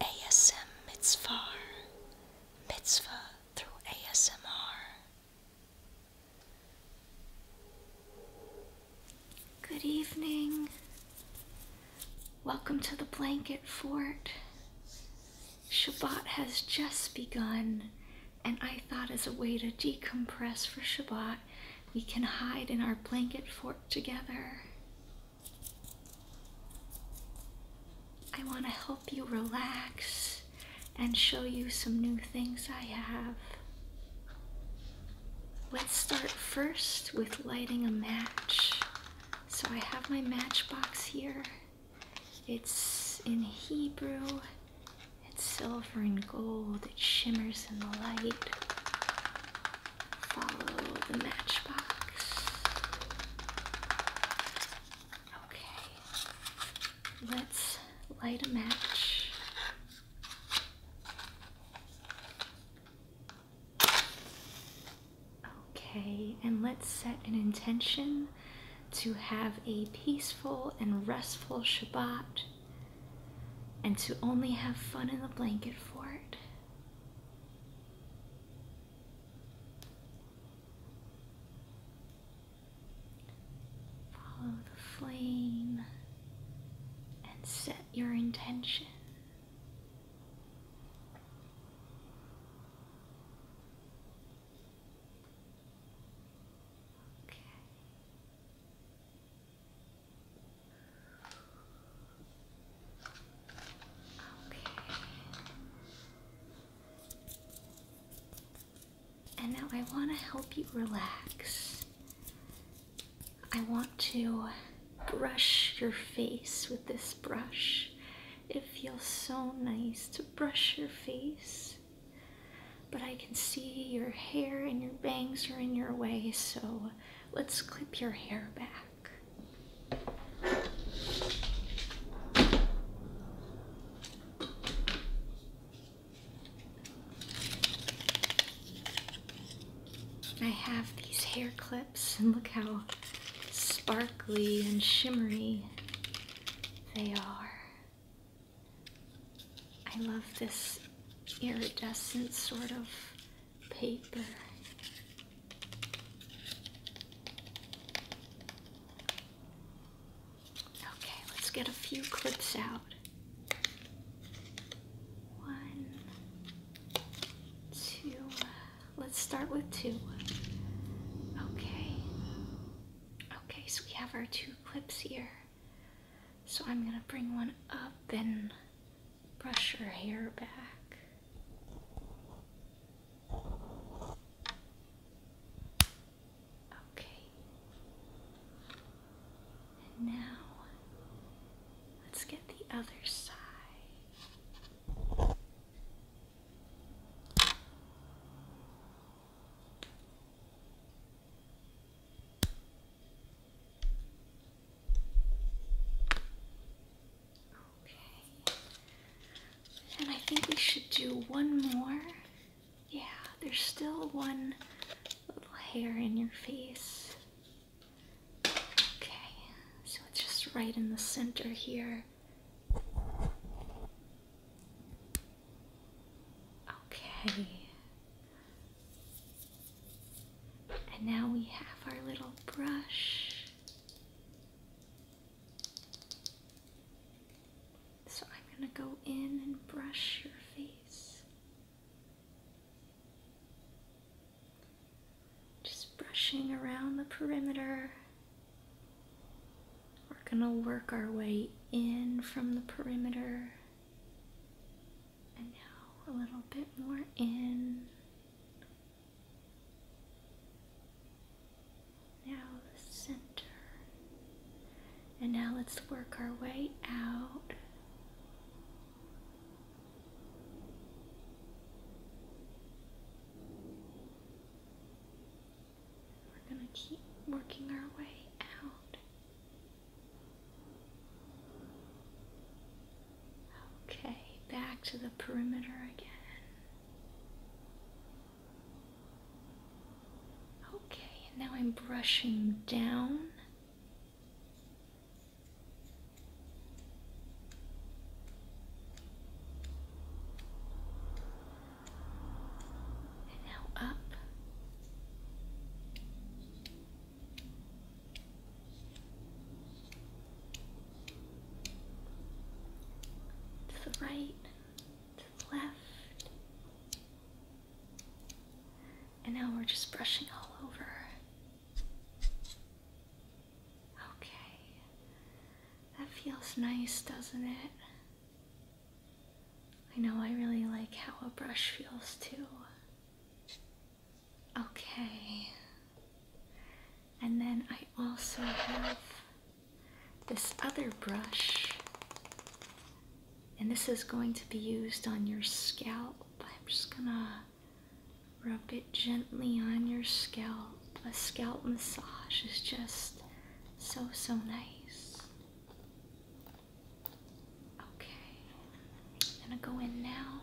ASM Mitzvah, Mitzvah through ASMR. Good evening. Welcome to the Blanket Fort. Shabbat has just begun, and I thought as a way to decompress for Shabbat, we can hide in our blanket fort together. I want to help you relax and show you some new things I have. Let's start first with lighting a match. So I have my matchbox here. It's in Hebrew, it's silver and gold, it shimmers in the light follow the matchbox. Okay, let's light a match. Okay, and let's set an intention to have a peaceful and restful Shabbat and to only have fun in the blanket fort. Follow the flame and set your intention. Okay. Okay. And now I want to help you relax. I want to brush your face with this brush. It feels so nice to brush your face. But I can see your hair and your bangs are in your way, so let's clip your hair back. I have these hair clips and look how sparkly and shimmery they are. I love this iridescent sort of paper. Okay, let's get a few clips out. One, two, let's start with two. Okay. Okay, so we have our two clips here. So I'm gonna bring one up and brush your hair back. Okay. now let's get the other side. Okay. And I think we should do one more. Yeah, there's still one little hair in your face. Okay, so it's just right in the center here. Okay. And now we have our little brush. So I'm going to go in and brush your face. Just brushing around the perimeter. We're going to work our way in from the perimeter. And now a little bit more in. Now the center. And now let's work our way out. We're going to keep working our way out. Okay, back to the perimeter again. Okay, and now I'm brushing down. And now up to the right, to the left. And now we're just brushing all over. Okay. That feels nice, doesn't it? I know I really like how a brush feels too. Okay. And then I also have this other brush, and this is going to be used on your scalp. I'm just gonna rub it gently on your scalp. A scalp massage is just so, so nice. Okay, I'm gonna go in now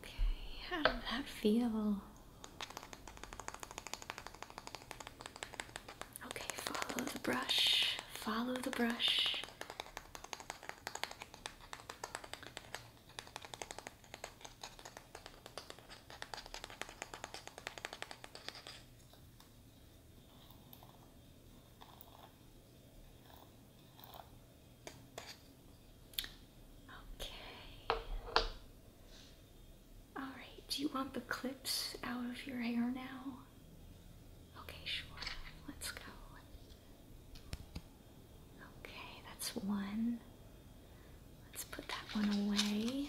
Okay, how did that feel? Okay, follow the brush, follow the brush. Okay. All right, do you want the clips out of your hair now? Okay, sure. Let's go. Okay, that's one. Let's put that one away.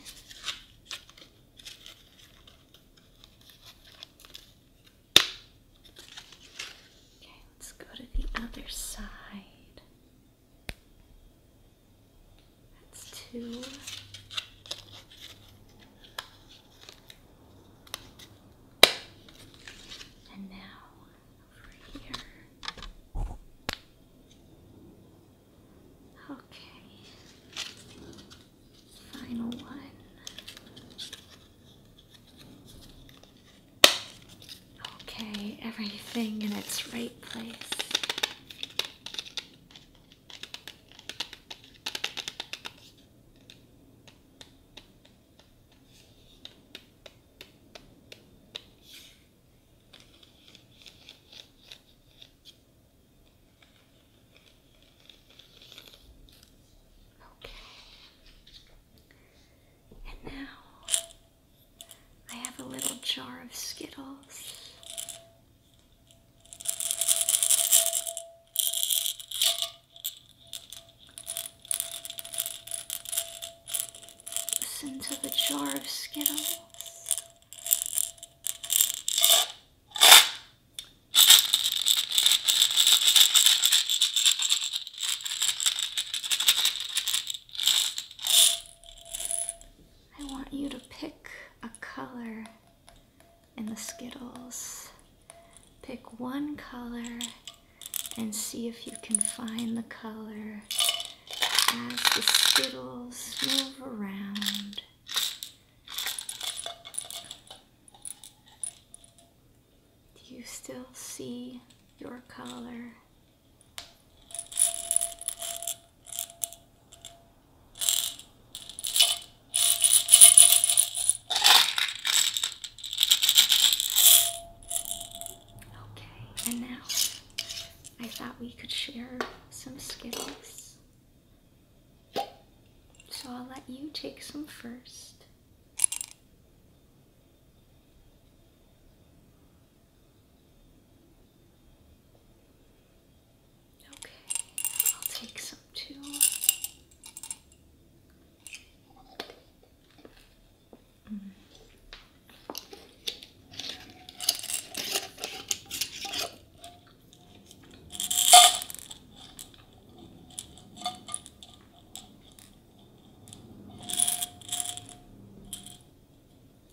Okay, let's go to the other side. That's two. And now over here. Okay. Final one. Okay, everything in its right place. Okay. And now I have a little jar of Skittles. Listen to the jar of Skittles. I want you to pick a color in the Skittles. Pick one color and see if you can find the color as the Skittles move around. Do you still see your color? Okay, and now I thought we could share some Skittles. So I'll let you take some first. Okay, I'll take some too. Mm.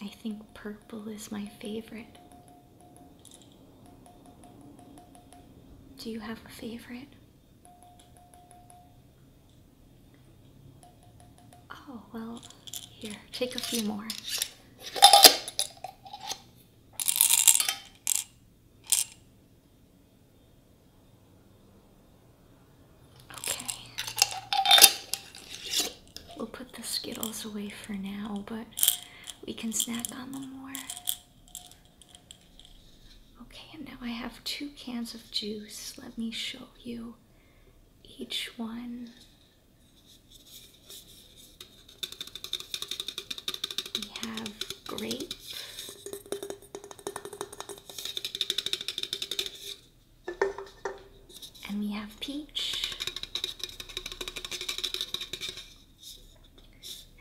I think purple is my favorite. Do you have a favorite? Oh, well, here, take a few more. Okay. We'll put the Skittles away for now, but we can snack on them more. Okay, and now I have two cans of juice. Let me show you each one. We have grape. And we have peach.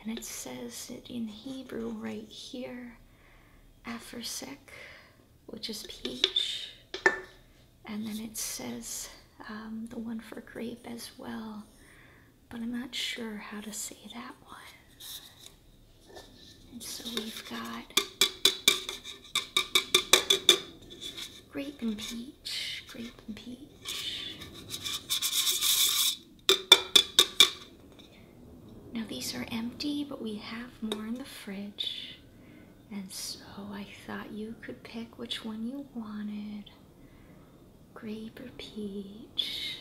And it says it in Hebrew right here, aphrosyk, which is peach and then it says um, the one for grape as well, but I'm not sure how to say that one. And so we've got grape and peach, grape and peach. Now these are empty, but we have more in the fridge. And so I thought you could pick which one you wanted grape or peach.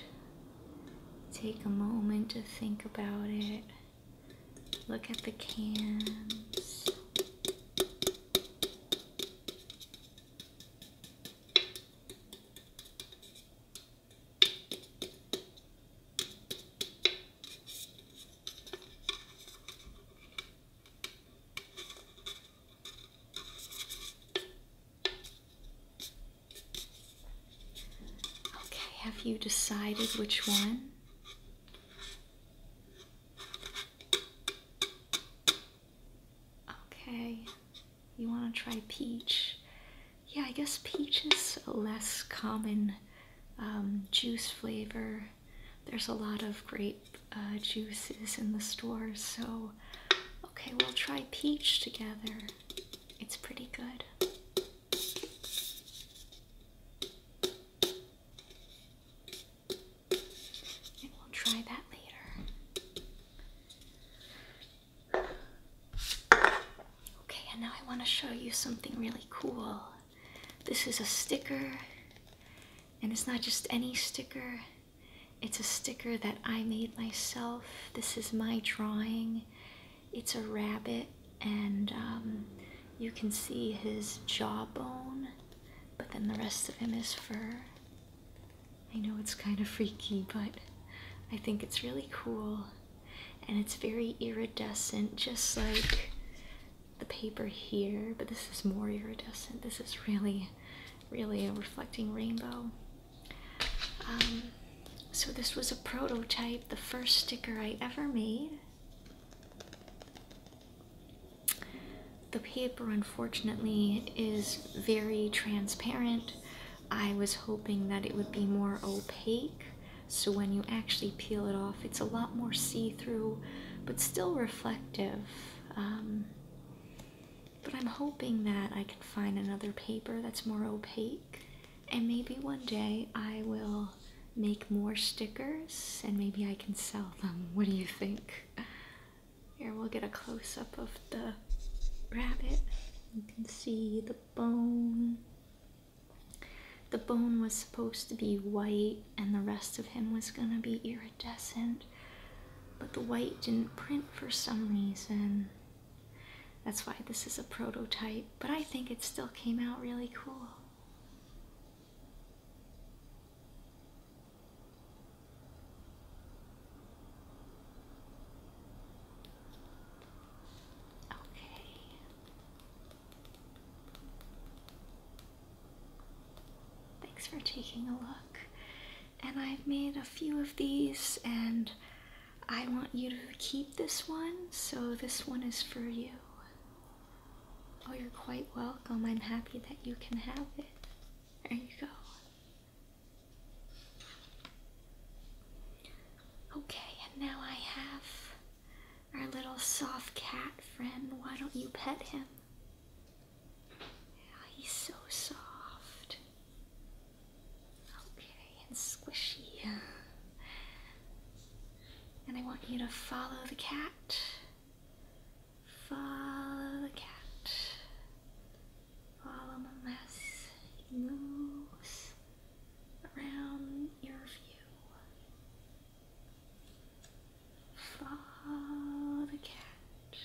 Take a moment to think about it. Look at the cans. Okay, have you decided which one? Okay, you want to try peach? Yeah, I guess peach is a less common um, juice flavor. There's a lot of grape uh, juices in the store, so okay, we'll try peach together. It's pretty good. we'll try that later. Okay, and now I want to show you something really cool. This is a sticker and it's not just any sticker, it's a sticker that I made myself. This is my drawing. It's a rabbit, and um, you can see his jawbone, but then the rest of him is fur. I know it's kind of freaky, but I think it's really cool. And it's very iridescent, just like the paper here, but this is more iridescent. This is really, really a reflecting rainbow. Um, so this was a prototype, the first sticker I ever made. The paper, unfortunately, is very transparent. I was hoping that it would be more opaque, so when you actually peel it off, it's a lot more see-through, but still reflective. Um, but I'm hoping that I can find another paper that's more opaque, and maybe one day I will make more stickers and maybe I can sell them. What do you think? Here, we'll get a close up of the rabbit. You can see the bone. The bone was supposed to be white and the rest of him was going to be iridescent, but the white didn't print for some reason. That's why this is a prototype, but I think it still came out really cool. Okay. Thanks for taking a look. And I've made a few of these, and I want you to keep this one, so this one is for you. Oh, you're quite welcome. I'm happy that you can have it. There you go. Okay, and now I have our little soft cat friend. Why don't you pet him? Yeah, he's so soft. Okay, and squishy. And I want you to follow the cat. Follow the cat. Follow him as moves around your view. Follow the cat.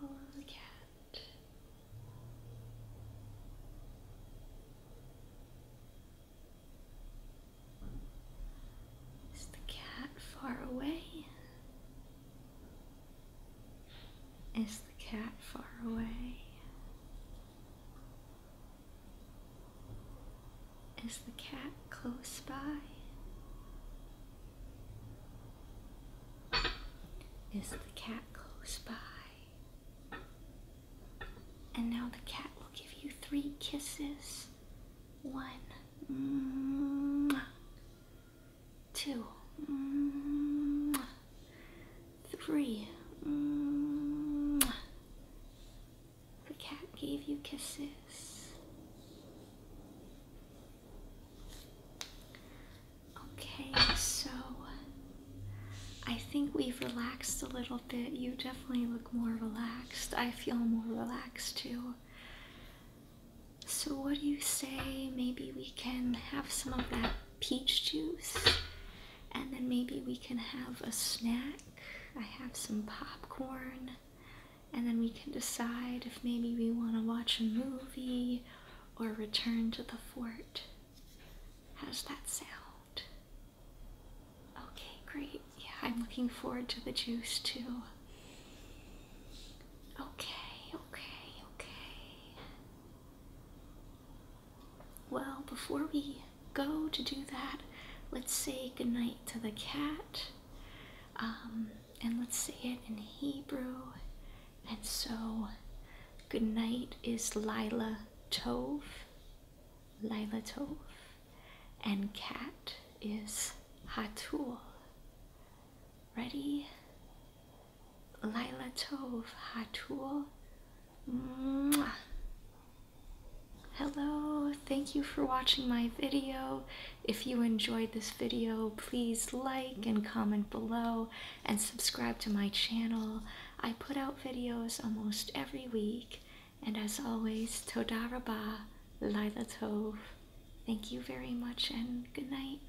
Follow the cat. Is the cat far away? Is the cat far away? Is the cat close by? Is the cat close by? And now the cat will give you three kisses. One two, mm. three. Mm. The cat gave you kisses. Okay, so I think we've relaxed a little bit. You definitely look more relaxed. I feel more relaxed too. So, what do you say? Maybe we can have some of that peach juice, and then maybe we can have a snack. I have some popcorn, and then we can decide if maybe we want to watch a movie or return to the fort. How's that sound? Okay, great. Yeah, I'm looking forward to the juice too. Okay, okay, okay. Well, before we go to do that, let's say goodnight to the cat. Um, and let's say it in Hebrew. And so, goodnight is Lila Tov. Lila Tov. And cat is Hatul. Ready? Laila Tov Hatul. Hello, thank you for watching my video. If you enjoyed this video, please like and comment below and subscribe to my channel. I put out videos almost every week. And as always, Toda Rabah, Laila Tov. Thank you very much and good night.